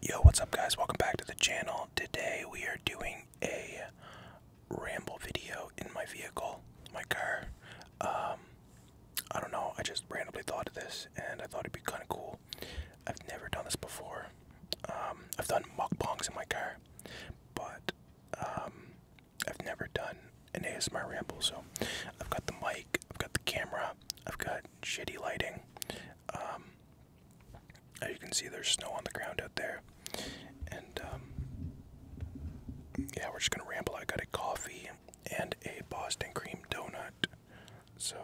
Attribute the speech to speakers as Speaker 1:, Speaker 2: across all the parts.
Speaker 1: Yo, what's up, guys? Welcome back to the channel. Today we are doing a ramble video in my vehicle, my car. Um, I don't know, I just randomly thought of this and I thought it'd be kind of cool. I've never done this before. Um, I've done mukbangs in my car, but um, I've never done an ASMR ramble. So I've got the mic, I've got the camera, I've got shitty lighting, um, as you can see, there's snow on the ground out there, and um, yeah, we're just gonna ramble. I got a coffee and a Boston cream donut, so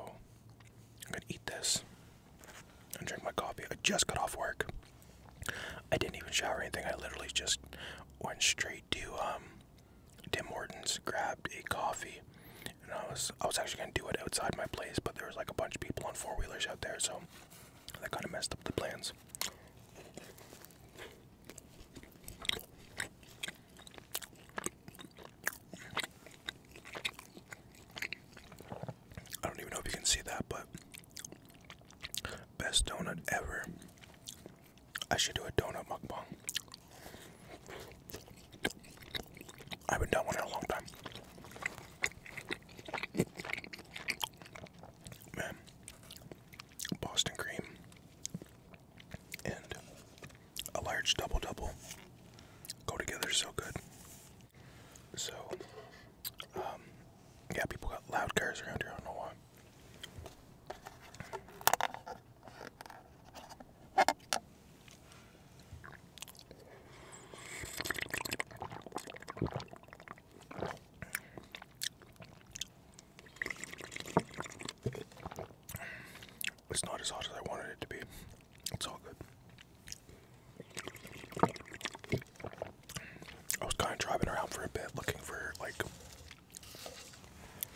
Speaker 1: I'm gonna eat this and drink my coffee. I just got off work. I didn't even shower or anything. I literally just went straight to um, Tim Hortons, grabbed a coffee and I was I was actually gonna do it outside my place, but there was like a bunch of people on four wheelers out there, so that kind of messed up the plans. I don't even know if you can see that, but best donut ever. I should do a donut mukbang. I haven't done one in a long time. Man, Boston cream and a large double double go together so good. So, um, yeah, people got loud cars around here. I don't know why. It's not as hot as I wanted it to be. It's all good. I was kind of driving around for a bit looking for like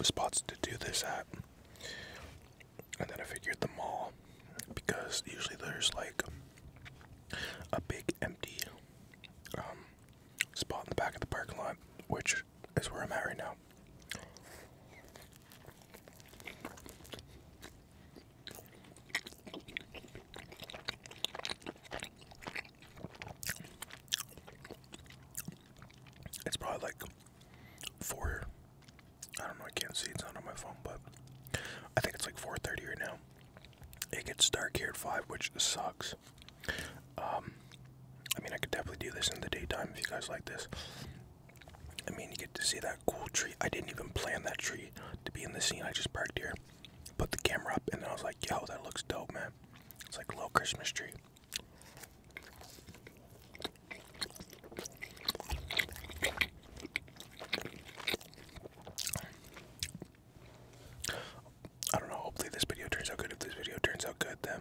Speaker 1: spots to do this at and then I figured the mall because usually there's like a big empty um, spot in the back of the parking lot, which is where I'm at right now. It's probably like four I don't know, I can't see, it's not on my phone, but I think it's like 4.30 right now. It gets dark here at 5, which sucks. Um, I mean, I could definitely do this in the daytime if you guys like this. I mean, you get to see that cool tree. I didn't even plan that tree to be in the scene. I just parked here, put the camera up, and I was like, yo, that looks dope, man. It's like a little Christmas tree. I don't know, hopefully this video turns out good. If this video turns out good, then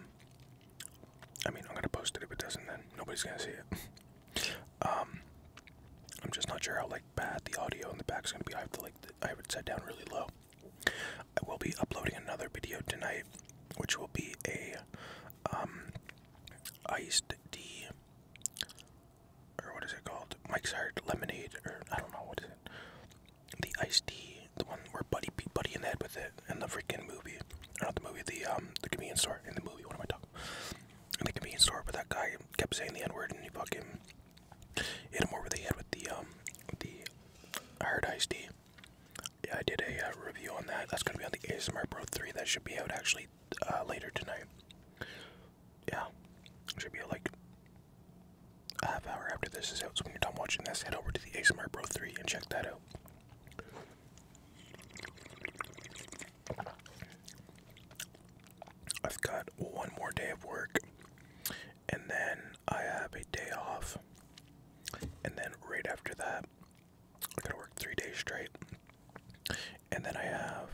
Speaker 1: I mean, I'm gonna post it. If it doesn't, then nobody's gonna see it. um, I'm just not sure how like bad the audio in the back is gonna be. I have to like, I have it set down really low. I will be uploading another video tonight, which will be a um, iced tea, or what is it called? Mike's Hard Lemonade, or I don't know what is it. The iced tea, the one where Buddy beat Buddy in the head with it in the freaking movie. Not the movie, the um, the convenience store in the movie. What am I talking? In the convenience store, but that guy kept saying the N word, and he fucking hit him over the head with the um, the hard iced tea yeah, I did a uh, review on that. That's gonna be on the ASMR Pro 3. That should be out actually uh, later tonight. Yeah, should be like a half hour after this is out. So when you're done watching this, head over to the ASMR Pro 3 and check that out. I've got one more day of work, and then I have a day off and then right after that, I gotta work three days straight, and then I have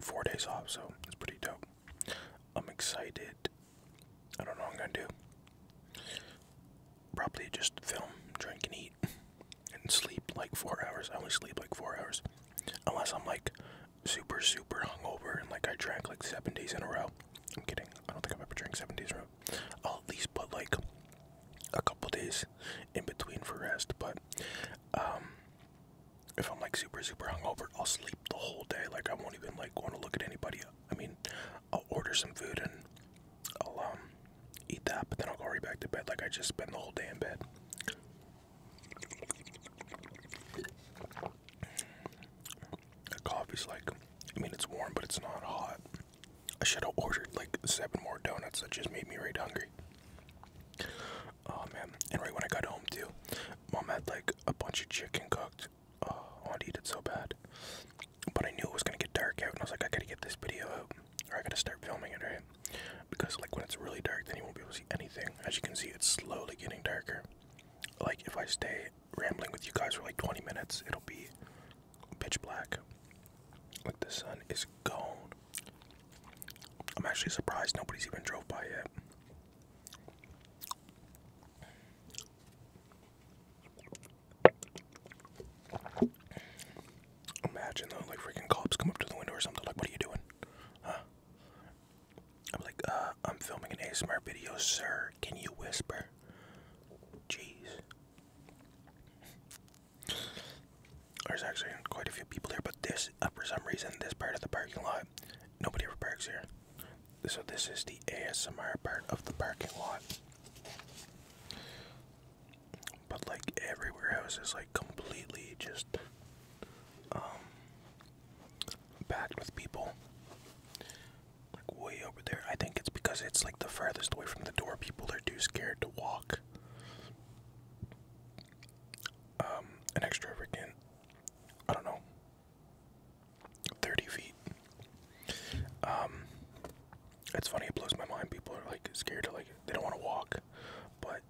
Speaker 1: four days off, so it's pretty dope. I'm excited. I don't know I'm gonna do. Probably just film, drink, and eat, and sleep like four hours. I only sleep like four hours, unless I'm like super, super hungover and like I drank like seven days in a row. I'm kidding. I don't think I've ever drank seven days in a row. I'll at least put like a couple days in between for rest. But um, if I'm like super super hungover, I'll sleep the whole day. Like I won't even like want to look at anybody. I mean, I'll order some food and I'll um eat that, but then I'll go right back to bed. Like I just spend the whole day in bed. The coffee's like, I mean, it's warm, but it's not hot. I should have ordered like seven more donuts. That just made me right hungry. Oh man! And right when I got home too, mom had like a bunch of chicken cooked. Oh, I wanted to eat it so bad, but I knew it was gonna get dark out, and I was like, I gotta get this video out, or I gotta start filming it, right? Because like when it's really dark, then you won't be able to see anything. As you can see, it's slowly getting darker. Like if I stay rambling with you guys for like 20 minutes. It'll be pitch black. Like the sun is gone. I'm actually surprised nobody's even drove by yet. Imagine though, like freaking cops come up to the window or something. Like, what are you doing? I'm like, uh, I'm filming an ASMR video, sir. Can you whisper? Jeez. There's actually quite a few people here, but this, uh, for some reason, this part of the parking lot, nobody ever parks here. So this is the ASMR part of the parking lot. But like everywhere else is like completely just um packed with people like way over there. I think it's because it's like the farthest away from the door. People are too scared to walk. Um, an extravagant, I don't know, 30 feet. Um, it's funny, it blows my mind. People are like scared to like, they don't want to walk, but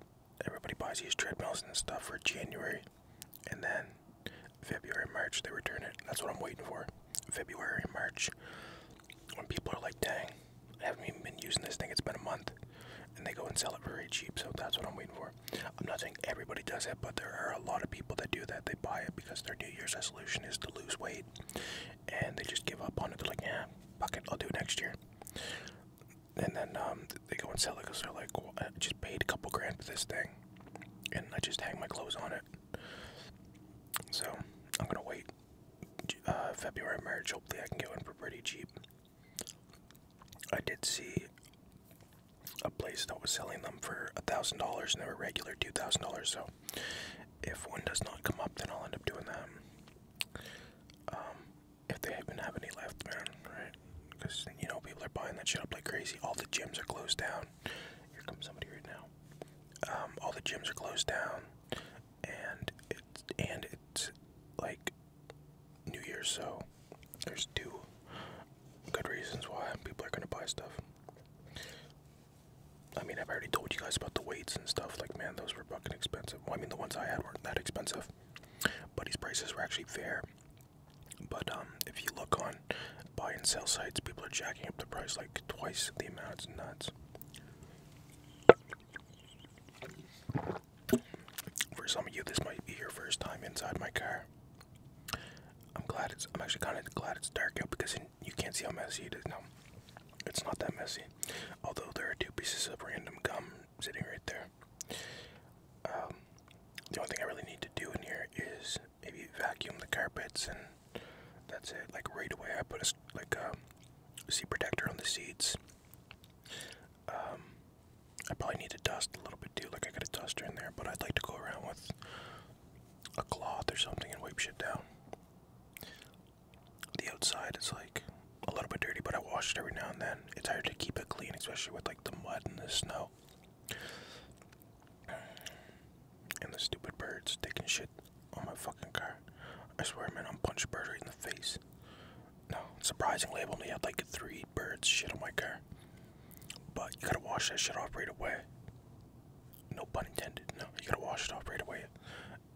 Speaker 1: everybody buys these treadmills and stuff for January and then February, March they return it. That's what I'm waiting for. February, March, when people are like, "Dang, I haven't been using this thing. It's been a month," and they go and sell it very cheap. So that's what I'm waiting for. I'm not saying everybody does it, but there are a lot of people that do that. They buy it because their New Year's resolution is to lose weight, and they just give up on it. They're like, "Yeah, fuck it, I'll do it next year." And then um, they go and sell it because they're like, well, I just paid a couple grand for this thing and I just hang my clothes on it. So I'm gonna wait uh, February, marriage. Hopefully, I can get one for pretty cheap. I did see a place that was selling them for a thousand dollars, and they were regular two thousand dollars. So if one does not come up, then I'll end up doing that. Um, if they even have any left, man, because you know people are buying that shit up like crazy. All the gyms are closed down. Here comes somebody right now. Um, all the gyms are closed down, and it's and it's like New Year's, so there's two good reasons why people are gonna buy stuff. I mean, I've already told you guys about the weights and stuff. Like, man, those were fucking expensive. Well, I mean, the ones I had weren't that expensive, but these prices were actually fair. But um, if you look on buy and sell sites, people are jacking up the price like twice the amount. It's nuts. For some of you, this might be your first time inside my car. I'm glad it's. I'm actually kind of glad it's dark out because you can't see how messy it is now. It's not that messy, although there are two pieces of random gum sitting right there. Um, the only thing I really need to do in here is maybe vacuum the carpets and that's it. Like right away, I put a like um, a seat protector on the seats. Um, I probably need to dust a little bit too. Like I got a duster in there, but I'd like to go around with a cloth or something and wipe shit down. The outside is like a little bit dirty, but I wash it every now and then. It's hard to keep it clean, especially with like the mud and the snow. And the stupid birds taking shit on my fucking car. I swear, man, I'm gonna punching bird in the face. No, surprisingly, I've only had like three birds shit on my car. But you gotta wash that shit off right away. No pun intended. No, you gotta wash it off right away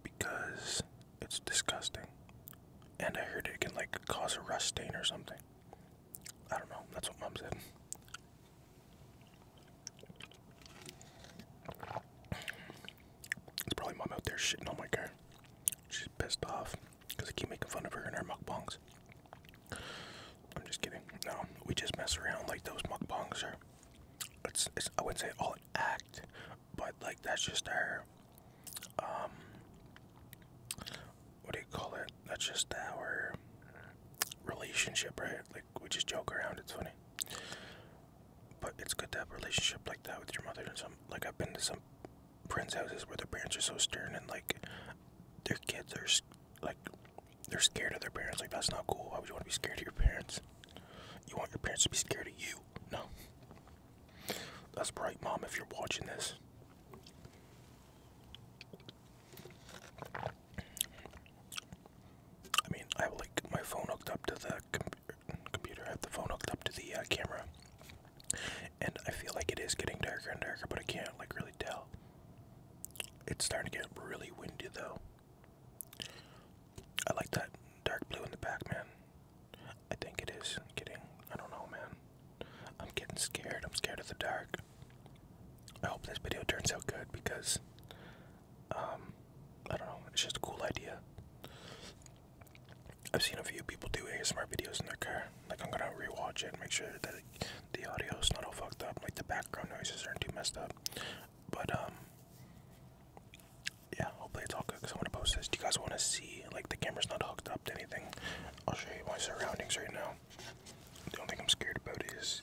Speaker 1: because it's disgusting. And I heard it can like cause a rust stain or something. I don't know. That's what mom said. It's probably mom out there shitting on my car. She's pissed off because I keep making fun of her and her mukbangs. I'm just kidding. No, we just mess around like those mukbangs are. It's, it's I wouldn't say all an act, but like that's just her. um what do you call it? That's just our relationship, right? Like we just joke around. It's funny, but it's good to have a relationship like that with your mother. And some like I've been to some friends' houses where the parents are so stern and like their kids are like they're scared of their parents. Like that's not cool. Why would you want to be scared of your parents? You want your parents to be scared of you? No. That's right, mom. If you're watching this, I mean, I have like my phone hooked up to the computer. I have the phone hooked up to the uh, camera, and I feel like it is getting darker and darker, but I can't like really tell. It's starting to get really windy though. I like that dark blue in the back, man. I think it is. I'm I don't know, man. I'm getting scared. I'm scared of the dark. I hope this video turns out good because, um, I don't know. It's just a cool idea. I've seen a few people do ASMR videos in their car. Like, I'm gonna rewatch it and make sure that it, the audio's not all fucked up. Like, the background noises aren't too messed up. But, um, yeah, hopefully it's all good because I want to post this. Do you guys want to see? Like, the camera's not hooked up to anything. I'll show you my surroundings right now. The only thing I'm scared about is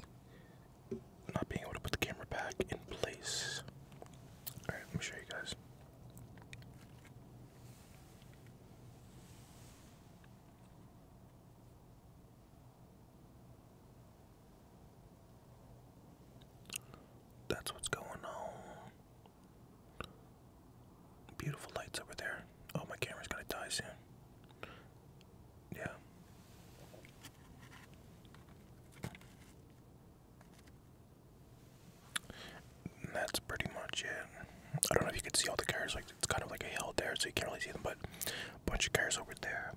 Speaker 1: not being able to put the camera back in place. Alright, let me show you guys. That's what's going on. Beautiful lights over there. Oh, my camera's gonna die soon. Yeah. that's pretty much it. I don't know if you can see all the cars. Like it's kind of like a hill there, so you can't really see them. But a bunch of cars over there,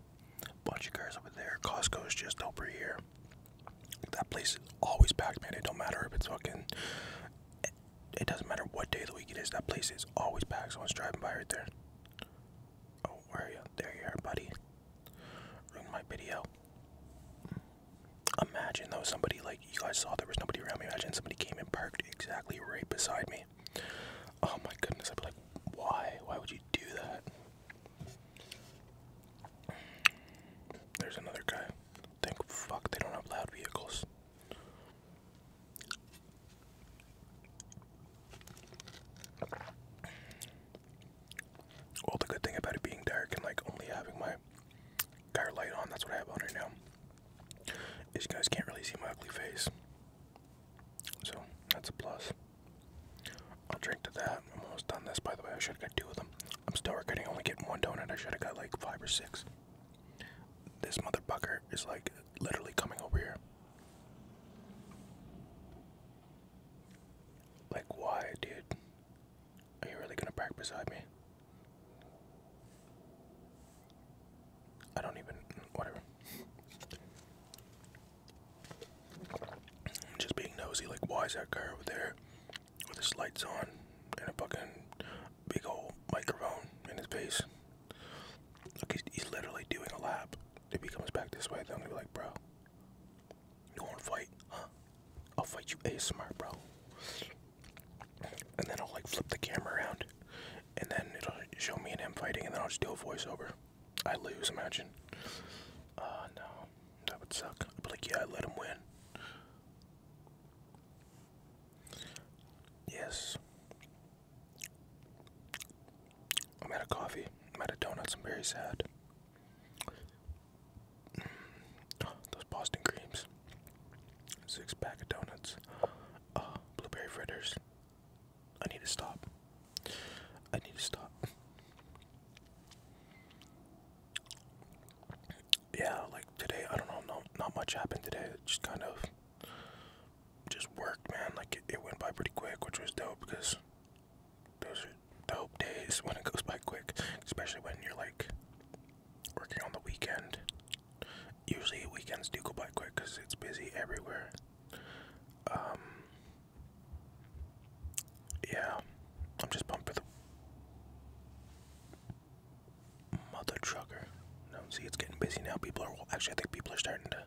Speaker 1: bunch of cars over there. Costco's just over here. That place is always packed, man. It don't matter if it's fucking it doesn't matter what day of the week it is, that place is always packed. Someone's driving by right there. Oh, where are you? There you are, buddy. Ruined my video. Imagine though somebody like you guys saw there was nobody around Imagine somebody came and parked exactly right beside me. Oh my goodness, I'd be like, why? Why would you do that? There's another guy. Thank fuck they don't have loud vehicles. Well, the good thing about it being dark and like only having my car light on, that's what I have on right now, These guys can't really see my ugly face. So, that's a plus. I'll drink to that. I'm almost done this, by the way. I should have got two of them. I'm still regretting only getting one donut. I should have got like five or six. This motherfucker is like literally coming over here. Like, why, dude? Are you really gonna park beside me? I don't even. Whatever. I'm just being nosy. Like, why is that car over there? with his lights on and a fucking big old microphone in his face. Look, he's, literally doing a lap. If he comes back this way, then I'm gonna be like, bro, you wanna fight? Huh? I'll fight you smart bro. And then I'll like flip the camera around and then it'll show me and him fighting and then I'll just do a voiceover. I lose, imagine. Uh, no. That would suck. I'd be like, yeah, I let him win. Yes. I'm out of coffee. I'm out of donuts. I'm very sad. Mm. those Boston creams. Six pack of donuts. Uh, blueberry fritters. I need to stop. I need to stop yeah, like today, I don't know, not, not much happened today. It just kind of just worked, man. Like it, went by pretty quick, which was dope because those are dope days when it goes by quick, especially when you're like working on the weekend. Usually weekends do go by quick because it's busy everywhere. Um, yeah, I'm just pumped for the mother trucker. No, see, it's getting busy now. People are well, actually, I think people are starting to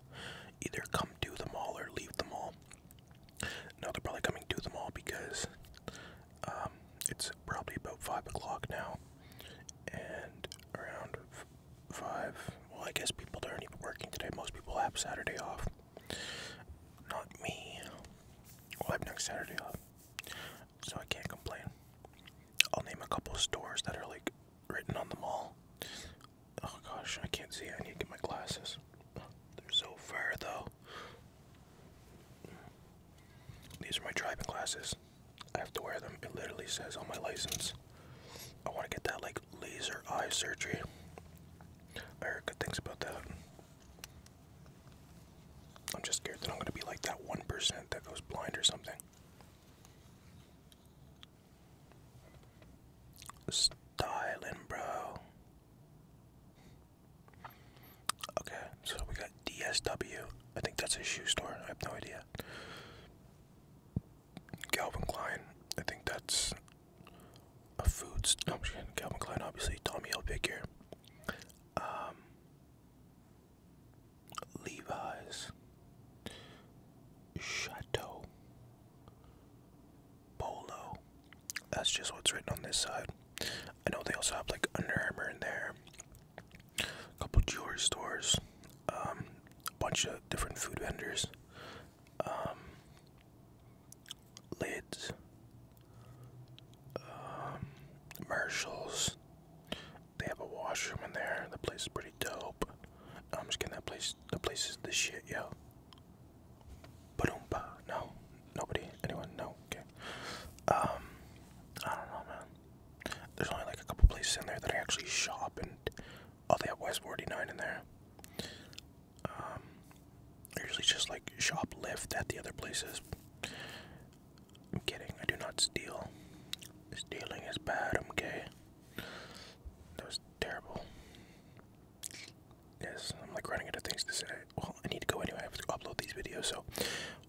Speaker 1: either come to the mall or leave the mall. No, they're probably coming to the mall because um, it's probably about five o'clock now, and around five. Well, I guess people aren't even working today. Most people have Saturday off. Not me. I'm next Saturday off, so I can't complain. I'll name a couple stores that are like written on the mall. Oh gosh, I can't see. I need to get my glasses. They're so far though. These are my driving glasses. I have to wear them. It literally says on my license. I want to get that like laser eye surgery. I heard good things about that. I'm just scared that I'm going to be like that 1% that goes blind or something. Styling, bro. Okay, so we got DSW. I think that's a shoe store. I have no idea. Calvin Klein. I think that's a food No, oh, I'm Calvin Klein, obviously. Tommy Hilfiger um, Levi's, Chateau, Polo. That's just what's written on this side. I know they also have like Under Armour in there, a couple jewelry stores, a um, bunch of different food vendors. Um, lids, um, Marshalls. They have a washroom in there. The place is pretty dope. I'm just kidding. That place, the place is the shit, yo. ba No, nobody, anyone, no. Okay. Um, I don't know, man. There's only like a couple places in there that I actually shop, and oh, they have West 49 in there. Um, I usually just like shoplift at the other places. I'm kidding. I do not steal. Stealing is bad. I'm gay. That was terrible. Yes, I'm like running out of things to say. Well, I need to go anyway. I have to upload these videos. So,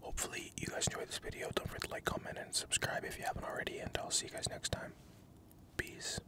Speaker 1: hopefully, you guys enjoyed this video. Don't forget to like, comment, and subscribe if you haven't already. And I'll see you guys next time. Peace.